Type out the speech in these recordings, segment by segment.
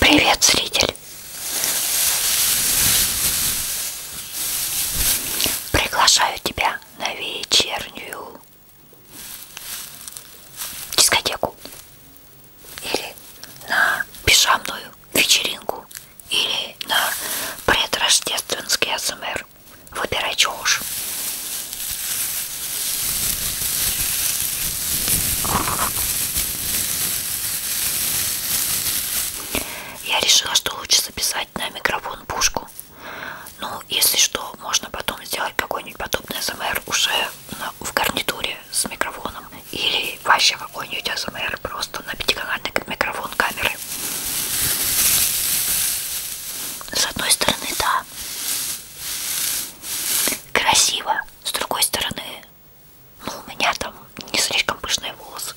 Привет, зритель! Приглашаю тебя на вечернюю дискотеку или на пижамную вечеринку или на предрождественский АСМР. Выбирай, чего уж. Я решила, что лучше записать на микрофон пушку. Ну, если что, можно потом сделать какой-нибудь подобный СМР уже на, в гарнитуре с микрофоном. Или вообще какой-нибудь СМР просто на пятиканальный микрофон камеры. С одной стороны, да, красиво. С другой стороны, ну, у меня там не слишком пышные волосы.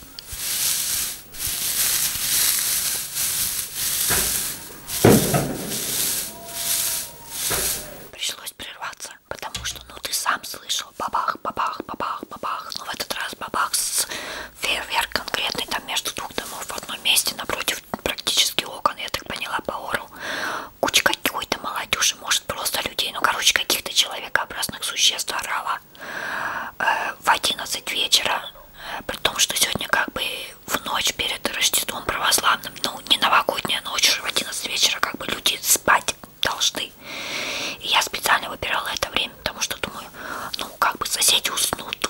Пришлось прерваться, потому что, ну, ты сам слышал, бабах, бабах, бабах, бабах. Ну, в этот раз бабах с фейерверк конкретный там между двух домов в одном месте напротив практически окон, я так поняла, по ору куча какой-то молодежи, может, просто людей, ну, короче, каких-то человекообразных существ орала э, в 11 вечера, э, при том, что сегодня как бы в ночь перед Рождеством православным, ну, не новогодняя ночь, уже в 11 вечера как бы люди спать должны. И я специально выбирала это время, потому что думаю, ну, как бы соседи уснут,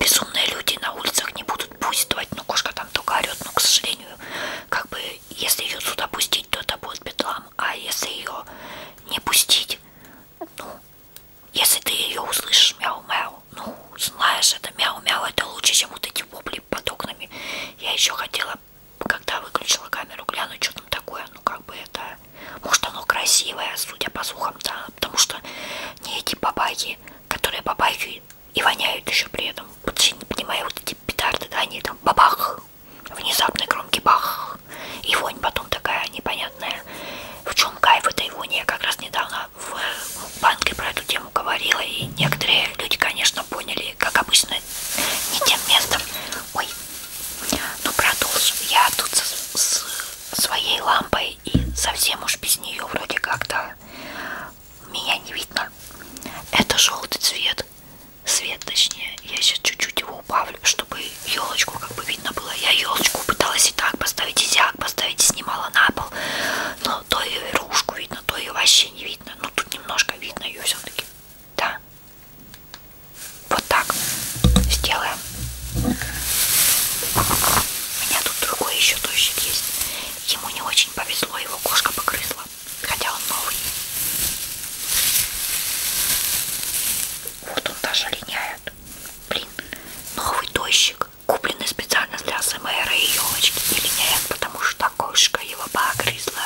безумные люди на улицах не будут буйствовать, ну, кошка там только орет, но, к сожалению, как бы, если ее сюда пустить, то это будет бедлам, а если ее не пустить, ну, если ты ее услышишь мяу-мяу, ну, знаешь, это мяу-мяу, это лучше, чем вот эти вопли под окнами. Я еще хотела, когда выключила камеру, глянуть, что там такое, ну, как бы это, может, оно красивое, судя по слухам, да, потому что не эти бабайки, которые бабайки и воняют еще при этом. Вообще не понимаю, вот эти петарды, да, они там бабах, внезапный громкий бах, и вонь потом такая непонятная. В чем кайф этой вони? Я как раз недавно ну, в банке про эту тему говорила, и некоторые люди, конечно, поняли, как обычно, не тем местом. Ой, ну продолжу. Я тут с, с своей лампой и совсем уж без нее вроде как-то меня не видно. Это желтый цвет свет, свет точнее, я сейчас чуть-чуть его убавлю, чтобы елочку как бы видно было. Я елочку пыталась и так поставить, и зяк поставить, и снимала на пол, но то ее ружку видно, то ее вообще не видно, но ну, тут немножко видно ее все-таки, да. Вот так сделаем. У меня тут другой еще дождик есть. Ему не очень повезло, его кошка погрызла хотя он новый. Вот он даже линяет. Блин, новый дождик, купленный специально для СМР и елочки, и линяет, потому что кошка его погрызла.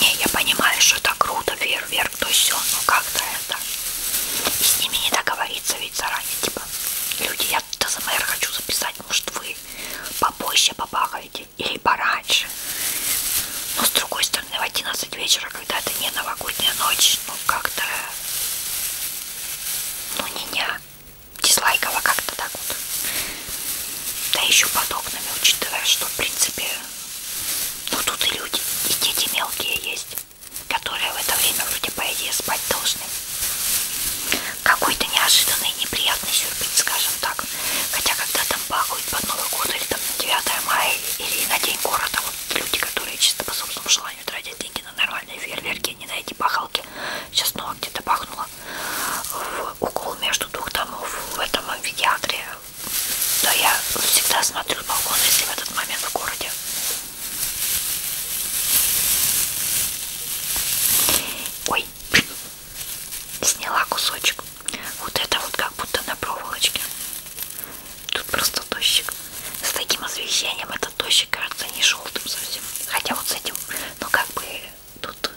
Не, я понимаю, что это круто, фейерверк, то ну все, но ну как-то это. И с ними не договориться ведь заранее, типа, люди, я ТЗМР хочу записать, может вы попозже побахаете или пораньше. Но с другой стороны, в 11 вечера, когда это не новогодняя ночь, ну как-то, ну не-не, дизлайково как-то так вот. Да еще под окнами, учитывая, что, в принципе, ну тут и люди, и дети мелкие есть, которые в это время вроде по идее спать должны. Какой-то неожиданный неприятный сюрприз, скажем так. Хотя когда там бахают под Новый год или там на 9 мая или на День города, вот люди, которые чисто по собственному желанию тратят деньги на нормальные фейерверки, не на эти бахалки, сейчас снова ну, где-то бахнуло в угол между двух домов в этом амфитеатре. Но я всегда смотрю с балкона, если в этот момент в городе. Ой, сняла кусочек. Вот это вот как будто на проволочке. Тут просто дождик. С таким освещением этот дождик кажется не желтым совсем. Хотя вот с этим, ну как бы тут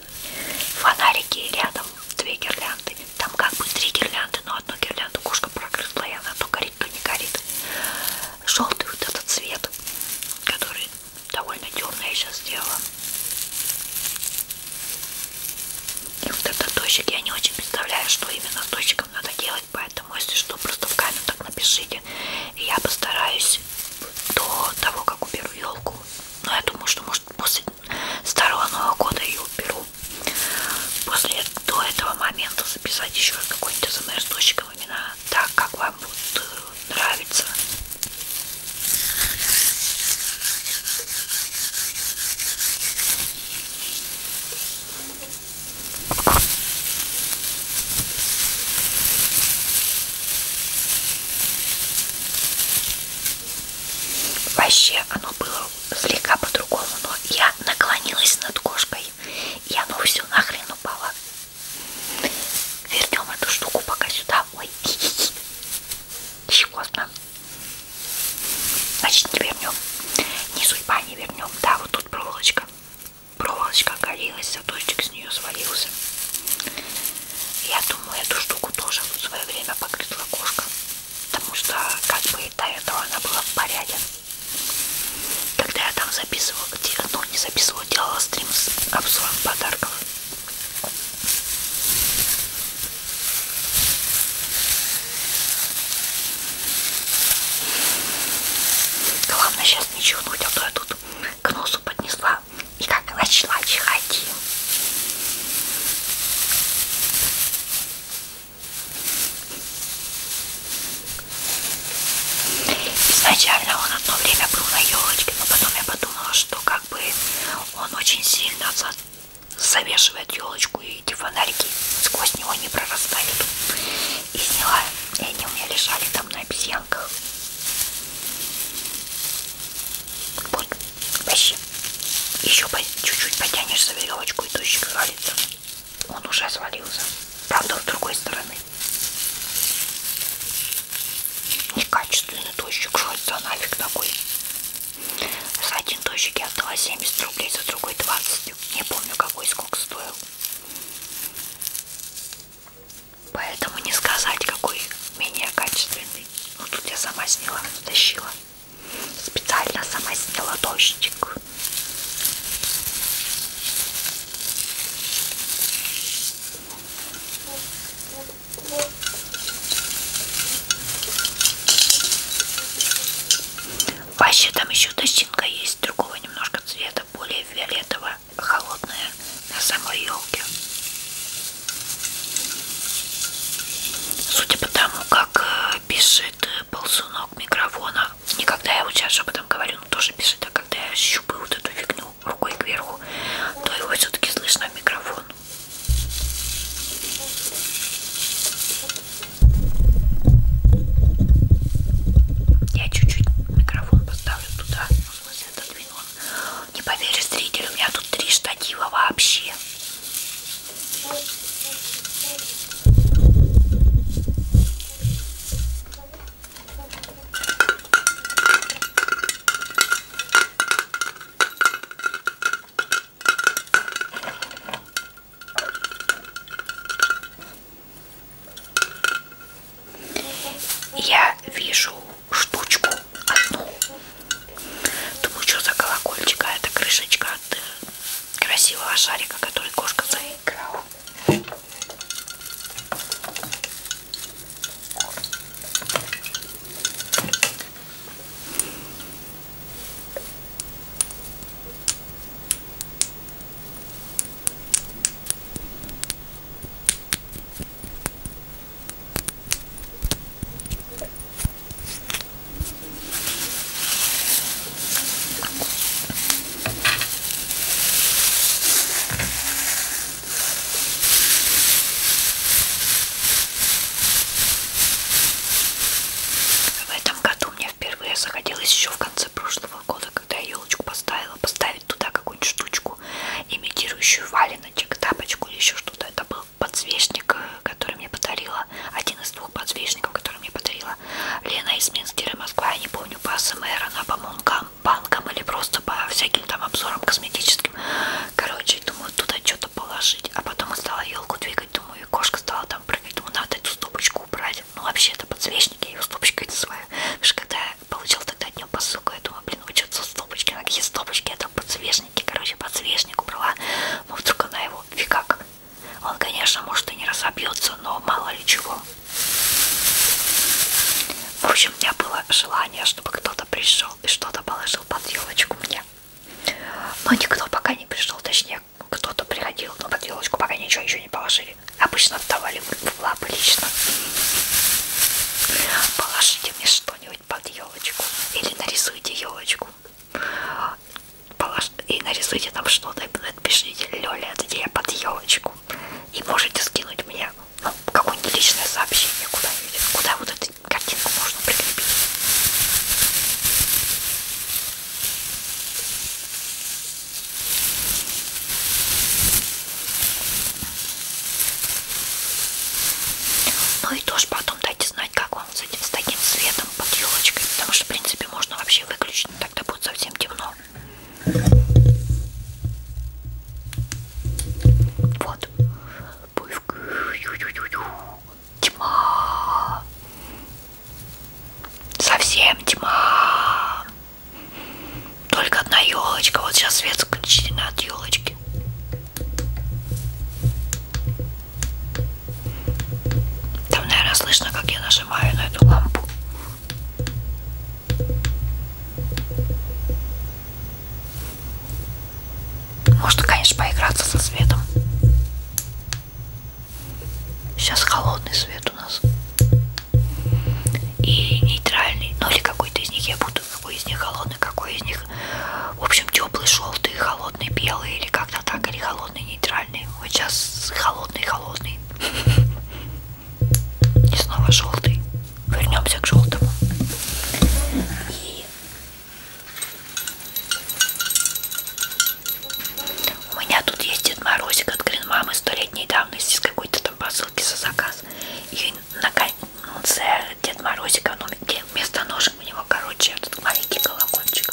фонарики рядом, две гирлянды. Там как бы три гирлянды, но одну гирлянду кошка прогрызла, и она то горит, то не горит. Желтый вот этот цвет, который довольно темный я сейчас сделала. И вот этот дождик, я не очень представляю, что именно с дождиком надо делать, поэтому, если что, просто в камень так напишите. И я постараюсь до того, как уберу елку, но я думаю, что может после старого Нового года ее уберу. После до этого момента записать еще какой-нибудь СМР с дочком именно так, как вам будет э, нравиться. Вообще оно было слегка по-другому, но я наклонилась над кошкой, и оно все нахрен упало. Вернем эту штуку пока сюда. Ой, щекотно. Значит, не вернем. Не судьба, не вернем. Да, вот тут проволочка. Проволочка горелась, заточек с нее свалился. Я думаю, эту штуку тоже в свое время погрызла кошка, потому что как бы и до этого она была в порядке. Когда я там записывала, где, ну не записывала, делала стрим с обзором подарков. Главное сейчас не чихнуть, а то я тут к носу поднесла и как лач-лач ходил. Изначально он одно время был на елочке, но потом я подумала, что как бы он очень сильно завешивает елочку, и эти фонарики сквозь него не прорастают. И сняла, и они у меня лежали там на обезьянках. Вот Тащи. Еще чуть-чуть потянешь за веревочку, и тучик свалится. Он уже свалился. Правда, с другой стороны. Некачественный тощик. Что это нафиг такой? За один тощик я отдала 70 рублей, за другой 20. Не помню, какой сколько стоил. Поэтому не сказать, какой менее качественный воды. Ну тут я сама сняла, тащила. Специально сама сняла дождик. Вообще а там еще дощинка есть, другого немножко цвета, более фиолетового, холодная на самой елке. Судя по тому, как э, пишет э, ползунок микрофона, не когда я вот сейчас шепотом говорю, но тоже пишет, а когда я щупаю вот эту фигню рукой кверху, то его все-таки слышно в микрофон. Я чуть-чуть микрофон поставлю туда, в смысле отодвину. Не поверишь, зритель, у меня тут три штатива вообще. Я вижу штучку одну. Думаю, что за колокольчик, а это крышечка от э, красивого шарика, который кошка заиграла. В этом году мне впервые захотелось еще в конце прошлого года, когда я елочку поставила, поставить туда какую-нибудь штучку, имитирующую валеночек, тапочку или еще что-то. Это был подсвечник, который мне подарила, один из двух подсвечников, который мне подарила Лена из Минскера, Москва, я не помню, по СМР, она по мункам, банкам или просто по всяким там обзорам косметическим. Короче, думаю, туда что-то положить, а потом я стала елку двигать, думаю, и кошка стала там прыгать, думаю, надо эту стопочку убрать. Ну, вообще, это подсвечник, я ее стопочкой называю, потому что когда я получила тогда днем посылку, я думаю, блин, вы что-то стопочки, какие стопочки, это подсвечник подсвечнике, короче, подсвечник убрала, но ну, вдруг она его фигак. Он, конечно, может и не разобьется, но мало ли чего. В общем, у меня было желание, чтобы кто-то пришел и что-то положил под елочку мне. Но никто пока не пришел, точнее, кто-то приходил, но под елочку пока ничего еще не положили. Обычно отдавали в лапы лично. Положите мне что-нибудь что-нибудь под елочку или нарисуйте елочку и нарисуйте там что-то и напишите Лёля, это я под елочку и можете скинуть мне ну, какое-нибудь личное сообщение куда-нибудь, куда вот эту картинку можно прикрепить ну и тоже потом дайте знать, как вам с этим с таким цветом под елочкой, потому что в принципе можно вообще выключить, но тогда будет совсем темно. Вот. Тьма. Совсем тьма. Только одна елочка. Вот сейчас свет включен от елочки. Там, наверное, слышно, как я нажимаю на эту лампу. Можно, конечно, поиграться со светом. Сейчас холодный свет у нас. И нейтральный. Ну или какой-то из них я буду какой из них холодный, какой из них, в общем, теплый, желтый, холодный, белый, или как-то так, или холодный, нейтральный. Вот сейчас холодный, холодный. И снова желтый. Вернемся к желтому. И у меня тут есть Дед Морозик от Гринмамы столетней давности с какой-то там посылки за заказ. И на, Дед Морозика, но вместо ножек у него, короче, этот маленький колокольчик.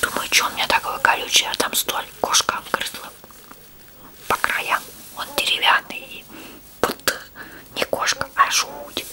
Думаю, что у меня такое колючее, а там столь кошка обгрызла по краям. Он деревянный и будто не кошка, а жуть.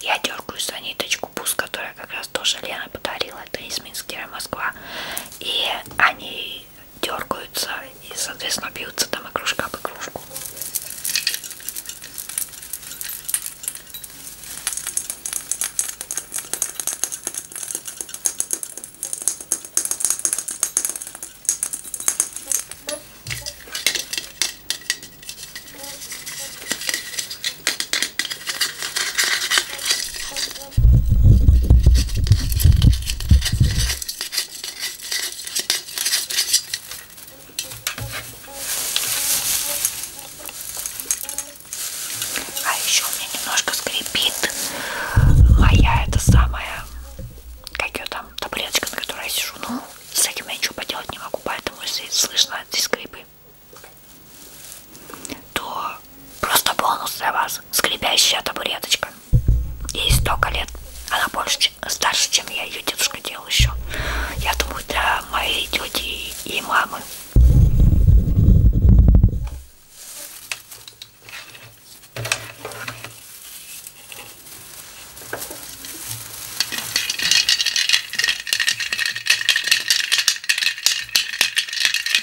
Я дергаю за ниточку бус, которая как раз тоже Лена подарила. Это из Минска, Москва этого. И они дергаются и, соответственно, бьются там игрушка об игрушку. А еще у меня немножко скрипит, а я это самая, как ее там, таблеточка, на которой я сижу, ну, с этим я ничего поделать не могу, поэтому если слышно эти скрипы, то просто бонус для вас скребящая табуреточка. Ей столько лет. Она больше, старше, чем я. Ее дедушка делал еще. Я думаю, для моей тети и мамы.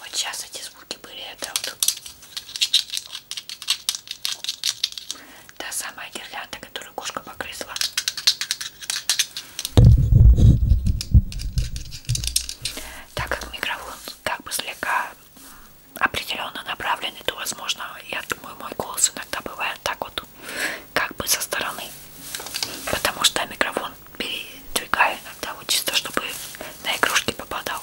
Вот сейчас эти звуки были, это вот та самая гирлянда, которую кошка погрызла. Так как микрофон как бы слегка определенно направленный, то возможно, я думаю, мой голос иногда бывает так вот, как бы со стороны. Потому что микрофон передвигаю иногда, вот чисто чтобы на игрушки попадал.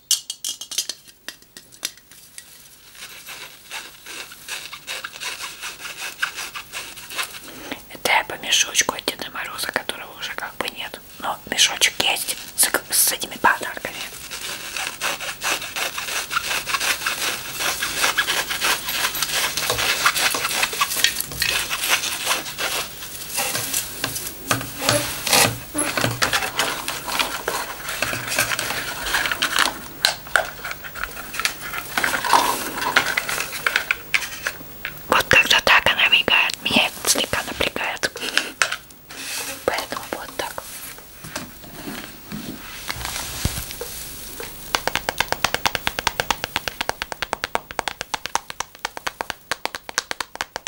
Это я по мешочку от Деда Мороза, которого уже как бы нет. Но мешочек есть с, с этими подарками. Вот когда так она мигает, меня это слегка напрягает. Поэтому вот так.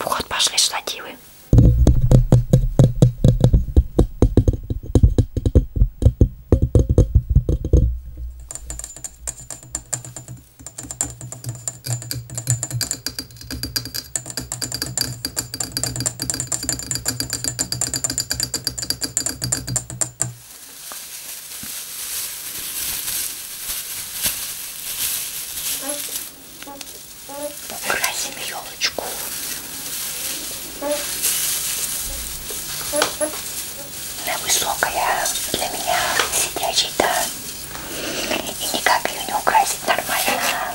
Вот пошли штативы. Красим елочку. Она высокая для меня сидячий, да. И никак ее не украсить нормально.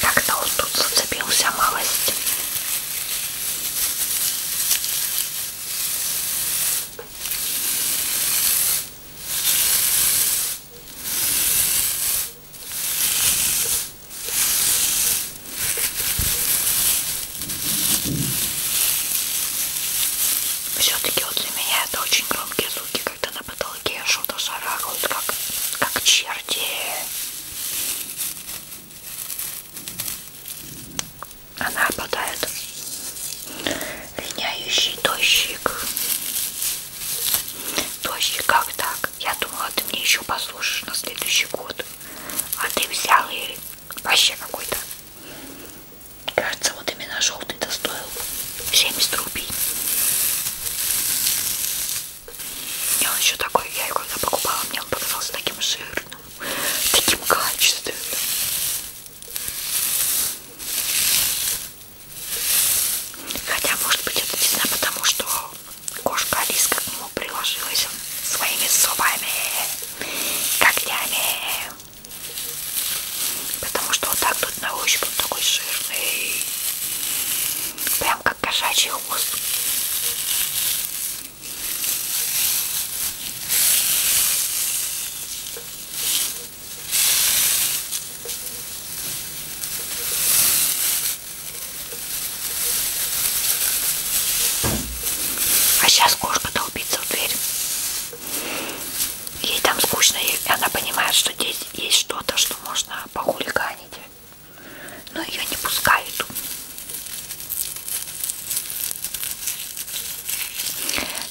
Как-то он тут зацепился малость. Все-таки вот для меня это очень громкие звуки, когда на потолке что-то шарахают, как, как черти. Она обладает линяющий дождик. Дождик, как так? Я думала, ты мне еще послушаешь на следующий год. А ты взял и вообще какой-то Кажется, вот именно желтый-то стоил 70 рублей. И он еще такой, я его когда покупала, мне он показался таким жирным, таким качественным. Хотя, может быть, это не знаю, потому что кошка Алиска к нему приложилась своими зубами, когтями. Потому что вот так тут на ощупь он такой жирный. Прям как кошачий хвост. А сейчас кошка долбится в дверь. Ей там скучно, и она понимает, что здесь есть что-то, что можно похулиганить. Но ее не пускают.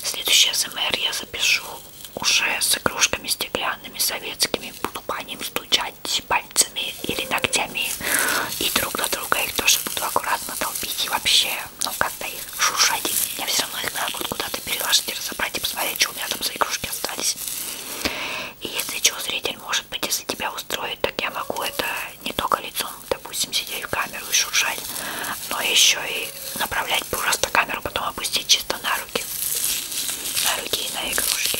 Следующий СМР я запишу уже с игрушками стеклянными, советскими. Буду по ним стучать пальцами или ногтями. И друг на друга их тоже буду аккуратно долбить. И вообще, ну, когда их шуршать. Я все равно их надо будет куда-то переложить и разобрать и посмотреть, что у меня там за игрушки остались. И если что, зритель, может быть, если тебя устроит, так я могу это не только лицом, допустим, сидеть в камеру и шуршать, но еще и направлять просто камеру, потом опустить чисто на руки. На руки и на игрушки.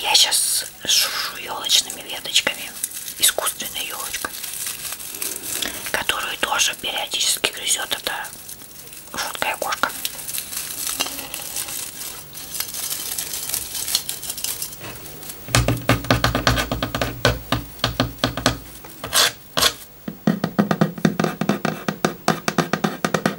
Я сейчас шуршу елочными веточками, искусственной елочкой, которую тоже периодически грызет эта жуткая кошка.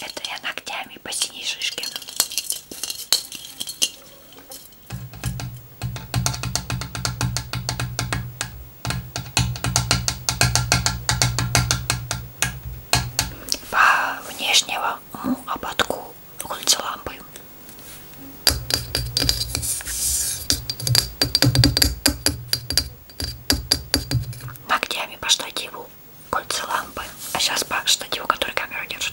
Это я ногтями по синей шишке. По внешнему ободку кольца-лампы ногтями по штативу кольца лампы, а сейчас по штативу, который камеру держит.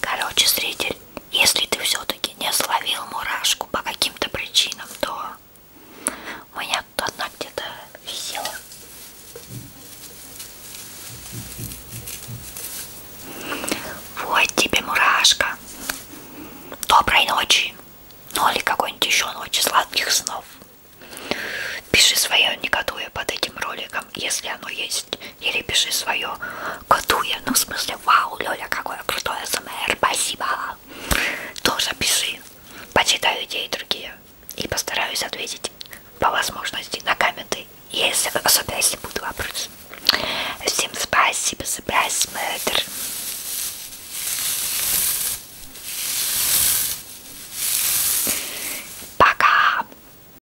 Короче, зритель, если ты все-таки не словил мурашку по каким-то причинам, то у меня тут одна где-то висела. Вот тебе мурашка. Доброй ночи. Ну или какой-нибудь еще ночи сладких снов. Пиши свое негодуя под этим роликом там, если оно есть, или пиши свое Катуя, ну в смысле, вау, Лёля, какое крутое СМР, спасибо, тоже пиши, почитаю те и другие, и постараюсь ответить по возможности на комменты, если, особенно если будут вопросы. Всем спасибо за просмотр. Пока!